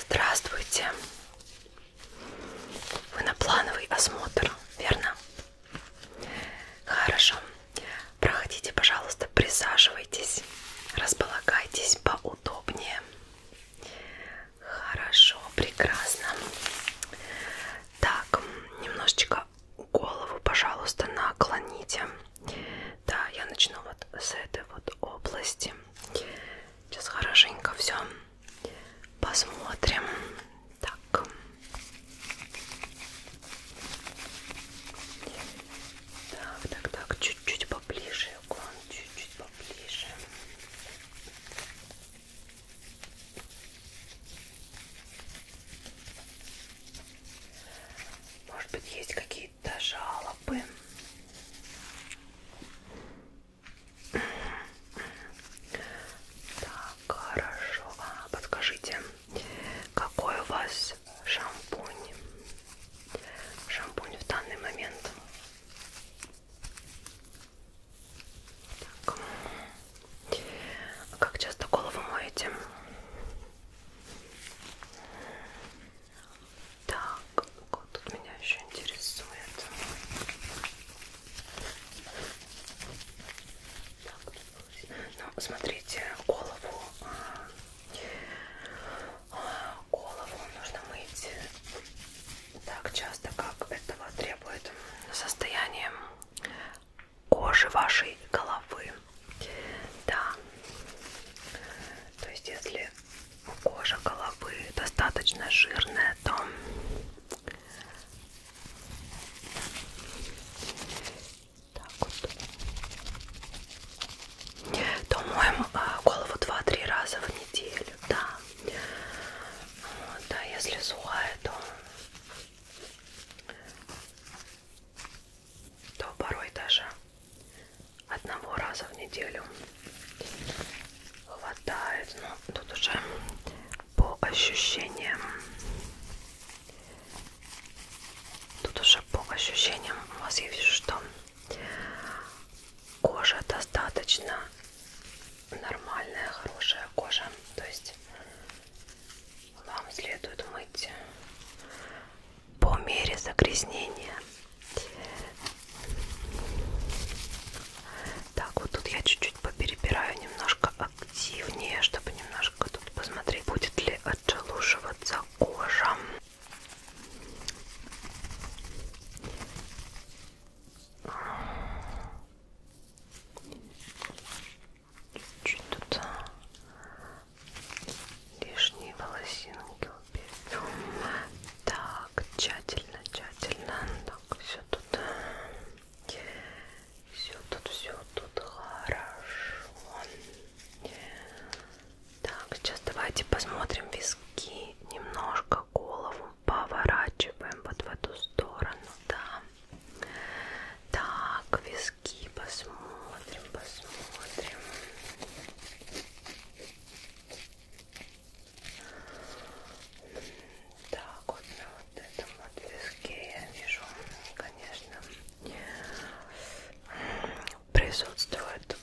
Здравствуйте. Вы на плановый осмотр, верно? Хорошо. Проходите, пожалуйста, присаживайтесь, располагайтесь поудобнее. Хорошо, прекрасно. Так, немножечко только голову, пожалуйста, наклоните. Да, я начну вот с этой вот области. Сейчас хорошенько все посмотрим. Так. Так, так, так, чуть-чуть поближе, чуть-чуть поближе. Может быть, есть какие-то жалобы? Так, хорошо. А, подскажите, какой у вас шампунь? Шампунь в данный момент. Так. А как часто голову моете? Так, вот тут меня еще интересует. Ну, смотрите, голову, а, а, голову нужно мыть так часто, как этого требует состояние кожи вашей головы. Да. То есть, если кожа головы достаточно жирная, то так вот. То моем а, голову 2-3 раза в неделю, да. Вот, а если сухая, то то порой даже одного раза в неделю хватает, но тут уже по ощущениям, тут уже по ощущениям у вас есть что кожа достаточно нормальная, хорошая кожа, то есть вам следует мыть по мере загрязнения. Так, вот тут я чуть-чуть поперебираю немножко активнее, чтобы немножко тут посмотреть, будет ли отшелушиваться кожа чуть тут а, лишние волосинки уберу. Так, тщательно, тщательно. Так, все тут. А, все тут, все тут хорошо. Так, сейчас давайте посмотрим виски. Немножко голову поворачиваем вот в эту сторону. Да. Так, виски носки посмотрим, посмотрим. Так, вот на вот этом вот виске я вижу, конечно, присутствует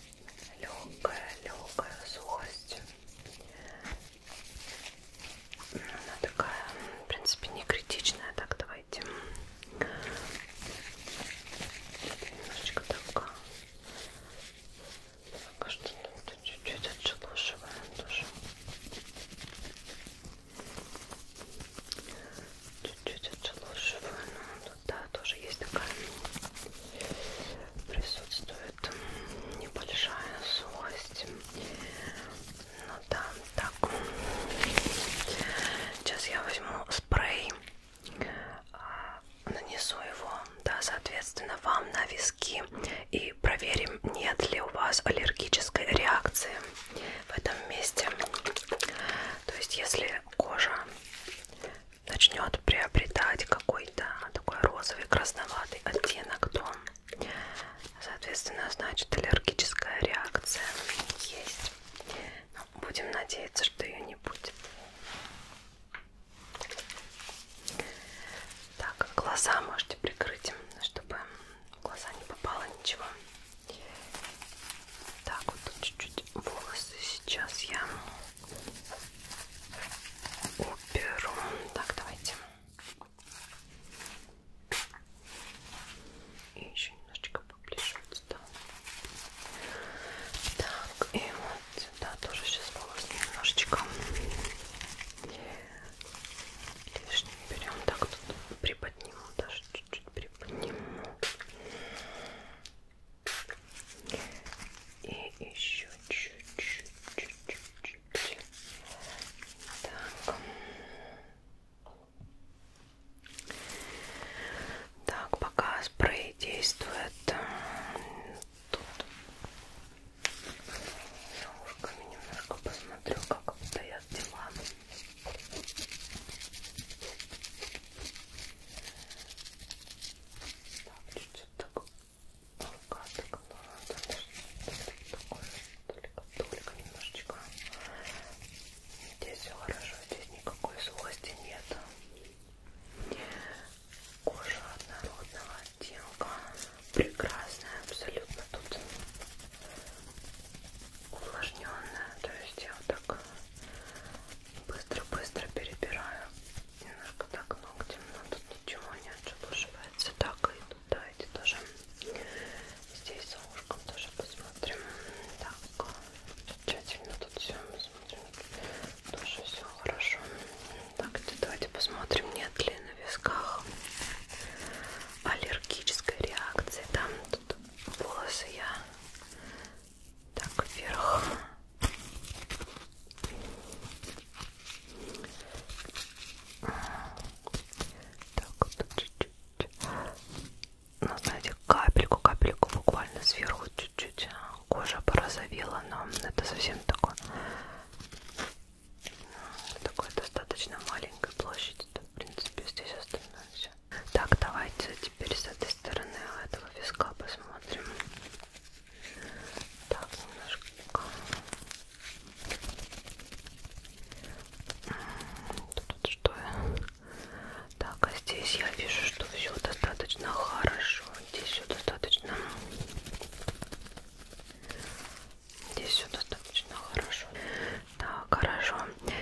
легкая, легкая сухость. Она такая, в принципе, не критичная. Так, давай Давайте. Немножечко так. Пока что чуть-чуть отшелушиваем тоже. Чуть-чуть отшелушиваю. Ну, тут, да, тоже есть такая присутствует небольшая сухость. Ну да, так. Сейчас я возьму спрей, а, нанесу его, да, соответственно, вам на виски и проверим, нет ли у вас аллергической реакции в этом месте. То есть, если кожа начнет приобретать какой-то такой розовый красноватый оттенок, то Соответственно, значит, аллергическая реакция есть. Но будем надеяться, что ее не будет. Так, глаза можете прикрыть, чтобы в глаза не попало ничего. Так, вот тут чуть-чуть волосы сейчас я уберу. Так, давайте. И еще немножечко поближе вот сюда. Так, и вот сюда тоже сейчас волосы немножечко лишним берем. Так, тут приподниму, даже чуть-чуть приподниму. И еще чуть-чуть. Так. Так, пока спрей действует, э, тут я ушками немножко посмотрю, как стоят дела. Так, чуть-чуть так, рука так, ну, так, такое только, только немножечко. Здесь все хорошо, здесь никакой злости нет. Кожа однородного оттенка, прекрасная абсолютно тут увлажненная, то есть я вот так быстро-быстро перебираю немножко так ногтем, но тут ничего не отшелушивается, так и тут ну, давайте тоже здесь за ушком тоже посмотрим. Так, тщательно тут все посмотрим. Тоже все хорошо. Так, давайте посмотрим, нет ли на висках аллергической реакции. Там тут волосы я так вверх. Так вот чуть-чуть. Ну, знаете, капельку-капельку буквально сверху чуть-чуть а, кожа порозовела, но это совсем такое, такое достаточно маленькой площади. Это, в принципе, здесь остальное все. Так, давайте теперь с этой стороны этого виска посмотрим. Так, немножко Тут что Так, а здесь я вижу, что все достаточно хорошо. Здесь все достаточно. Здесь все достаточно хорошо. Так, хорошо.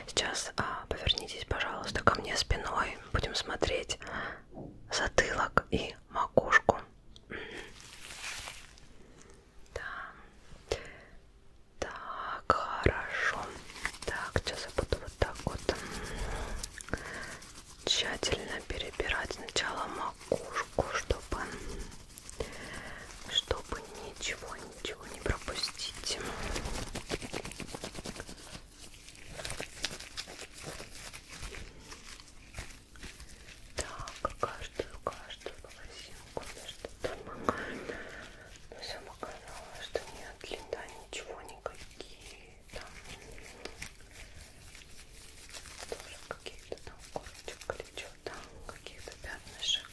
Сейчас а, повернитесь, пожалуйста, ко мне спиной. Будем смотреть затылок и макушку. Да. Так, хорошо. Так, сейчас я буду вот так вот тщательно перебирать сначала макушку, чтобы, чтобы ничего, ничего не пропустить. Так, каждую, каждую волосинку между домогами. Но ну, сам оказалось, что нет длина ничего, никакие там тоже какие-то там корочек или что там, какие-то пятнышек.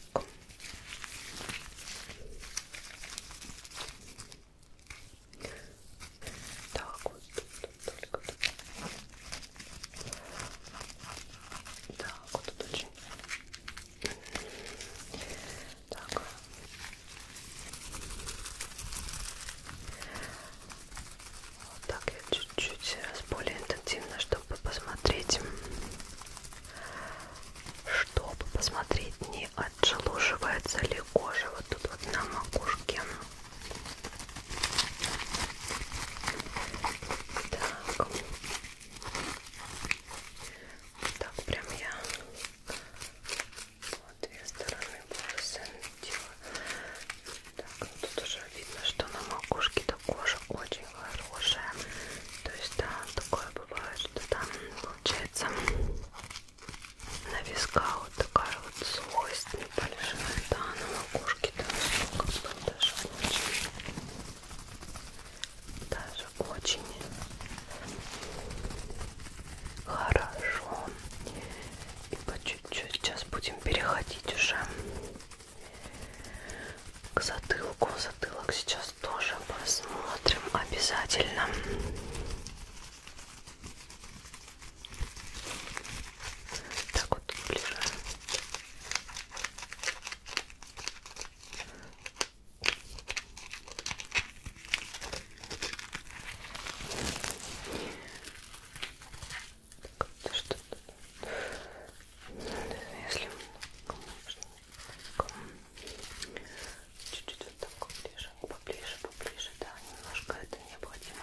Так, вот тут, тут только тут. Так, вот тут очень. Так. Вот так я чуть-чуть раз более интенсивно, чтобы посмотреть, чтобы посмотреть, не отжелуживается ли кожа вот тут вот на макушке. Так. Вот так прям я вот две стороны волосы делаю. Так, ну тут уже видно, что на макушке-то кожа очень хорошая. То есть, да, такое бывает, что там получается на висках вот такая вот слость небольшая, да, на макушке руки даже очень, даже очень хорошо. И по чуть-чуть сейчас будем переходить уже к затылку. Затылок сейчас тоже посмотрим обязательно. Так вот ближе. Что если чуть-чуть вот так поближе, поближе, поближе, да, немножко это необходимо.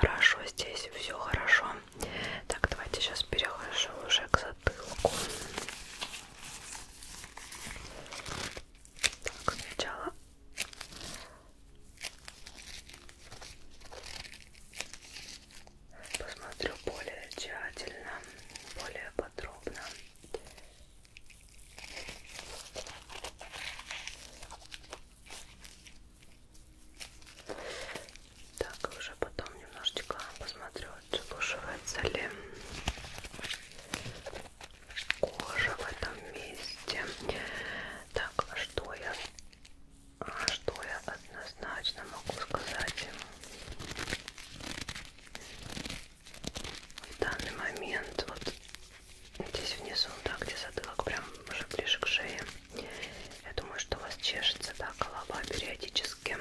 Хорошо, здесь все хорошо. Так, давайте сейчас перехожу уже к затылку. Так, сначала Посмотрю более тщательно, более подробно. Так, уже потом немножечко посмотрю, отшелушивается ли кожа в этом месте. Так, а что я что я однозначно могу сказать? В данный момент, вот здесь внизу, да, где затылок прям уже ближе к шее, я думаю, что у вас чешется, да, голова периодически.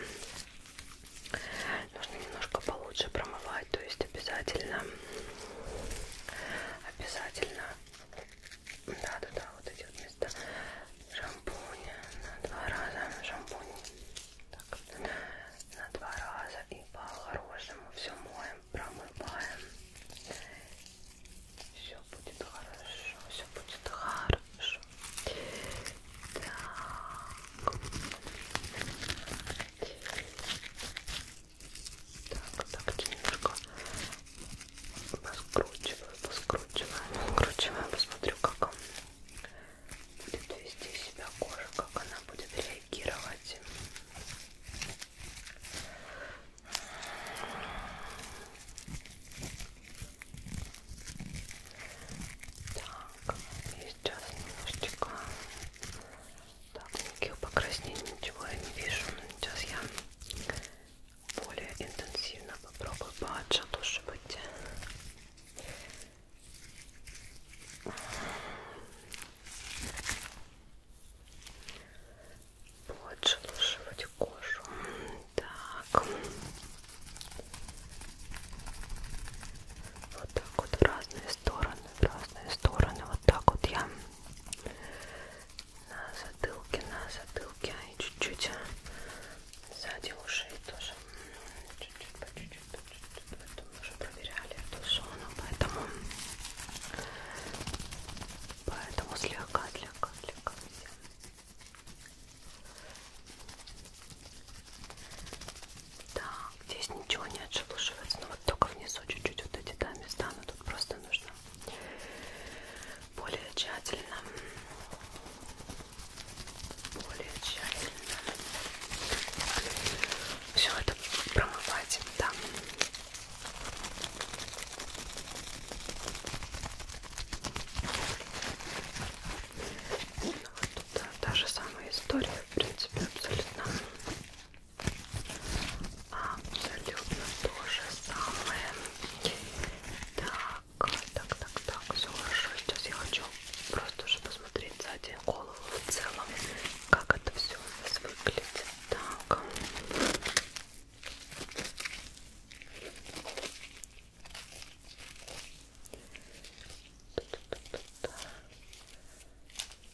Нужно немножко получше промывать, то есть обязательно, обязательно да, да, да, вот эти вот места шампунь на два раза, шампунь так, на два раза и по-хорошему все моем, промываем все будет хорошо, все будет хорошо так так, так, немножко поскручиваю, поскручиваю, поскручиваю, посмотрю, как будет вести себя кожа, как она будет реагировать. Так, и сейчас немножечко так, никаких покраснений, ничего я не вижу. Сейчас я более интенсивно попробую поотшелушивать. Поотшелушивать кожу. Так. Вот так вот в разные стороны, в разные стороны. Вот так вот я на затылке, на затылке и чуть-чуть а? сзади ушей тоже. Чуть-чуть, по чуть-чуть, по чуть-чуть. Это мы уже проверяли эту зону, поэтому, поэтому слегка, слегка, слегка. Так, здесь ничего не отшелушивается, но вот только внизу чуть-чуть вот эти да, места, но тут просто нужно более тщательно, более тщательно все это промывать, да. Ну, вот тут та, та же самая история, в принципе, абсолютно. Абсолютно то же самое. Так, так, так, так, все хорошо. Сейчас я хочу просто уже посмотреть сзади голову в целом, как это все у нас выглядит. Так.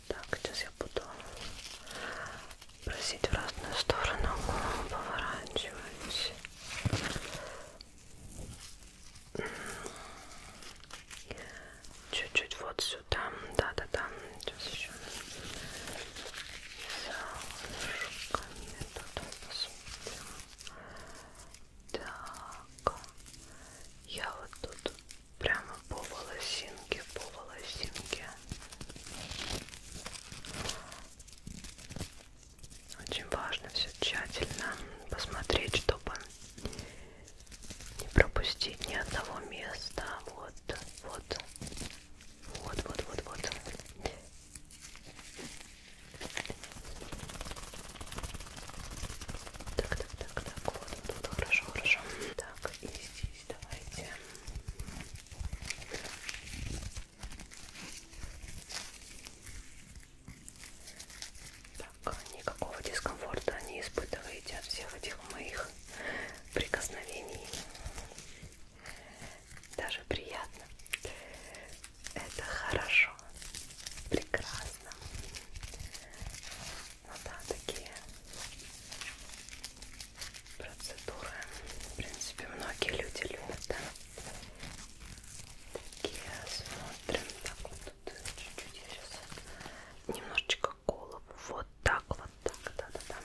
Так, сейчас я буду просить в разную сторону, поворачиваюсь. Чуть-чуть вот сюда. Да-да-да. Сейчас еще солнышко мне тут посмотрим. Так. Я вот тут прямо по волосинке, по волосинке. Очень важно все тщательно посмотреть, чтобы не пропустить ни одного места. Вот, вот, вот, вот, вот, вот. Так, так, так, так, вот, вот, хорошо, хорошо. Так, и здесь давайте. Так, никакого дискомфорта не испытываете от всех этих моих прикосновений. Даже приятно. Это хорошо. Прекрасно. Ну да, такие процедуры, в принципе, многие люди любят, да? Такие смотрим, так вот тут чуть-чуть я сейчас немножечко голову, вот так, вот так, да-да-да. Так,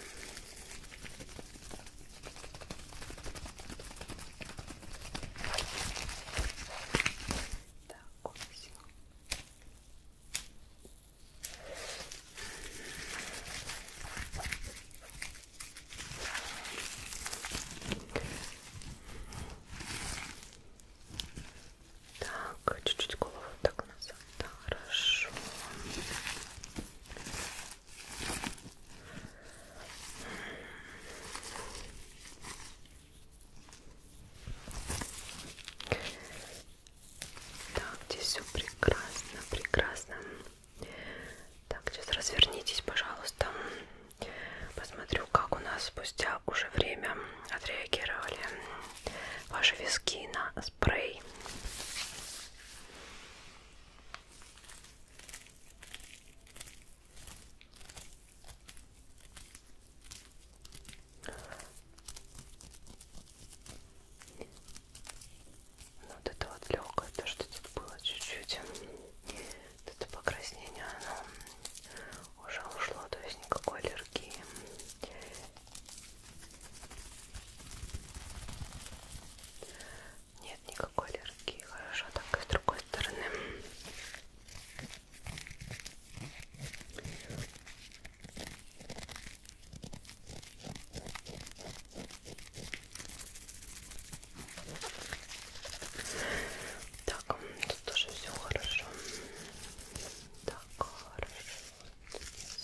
так, чуть-чуть голову так назад. Да, хорошо. Так, здесь все прекрасно, прекрасно. Так, сейчас развернитесь, пожалуйста. Посмотрю, как у нас спустя уже время отреагировали ваши виски на спрей. Ну, вот это вот легкое, то, что тут было чуть-чуть. Это покраснение, оно уже ушло, то есть никакой аллергии. Нет никакой аллергии. Хорошо, так и с другой стороны. Так, тут тоже все хорошо. Так, хорошо.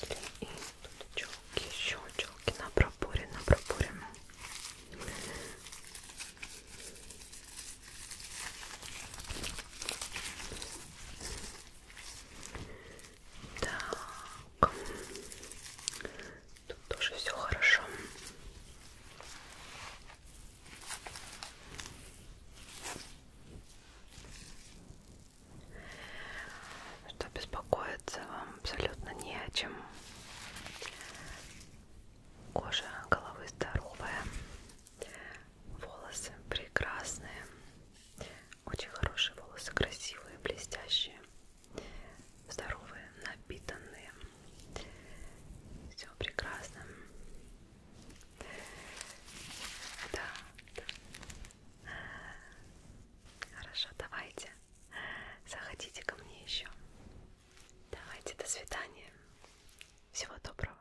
Если и тут челки, еще челки на проборе, на проборе. Так. Тут тоже все хорошо. Что беспокоиться вам абсолютно не о чем. Кожа головы здоровая, Волосы прекрасные. Очень хорошие волосы, красивые, блестящие, здоровые, напитанные. Все прекрасно. Да, да. Хорошо, давайте. Заходите ко мне еще. Давайте, до свидания. Всего доброго.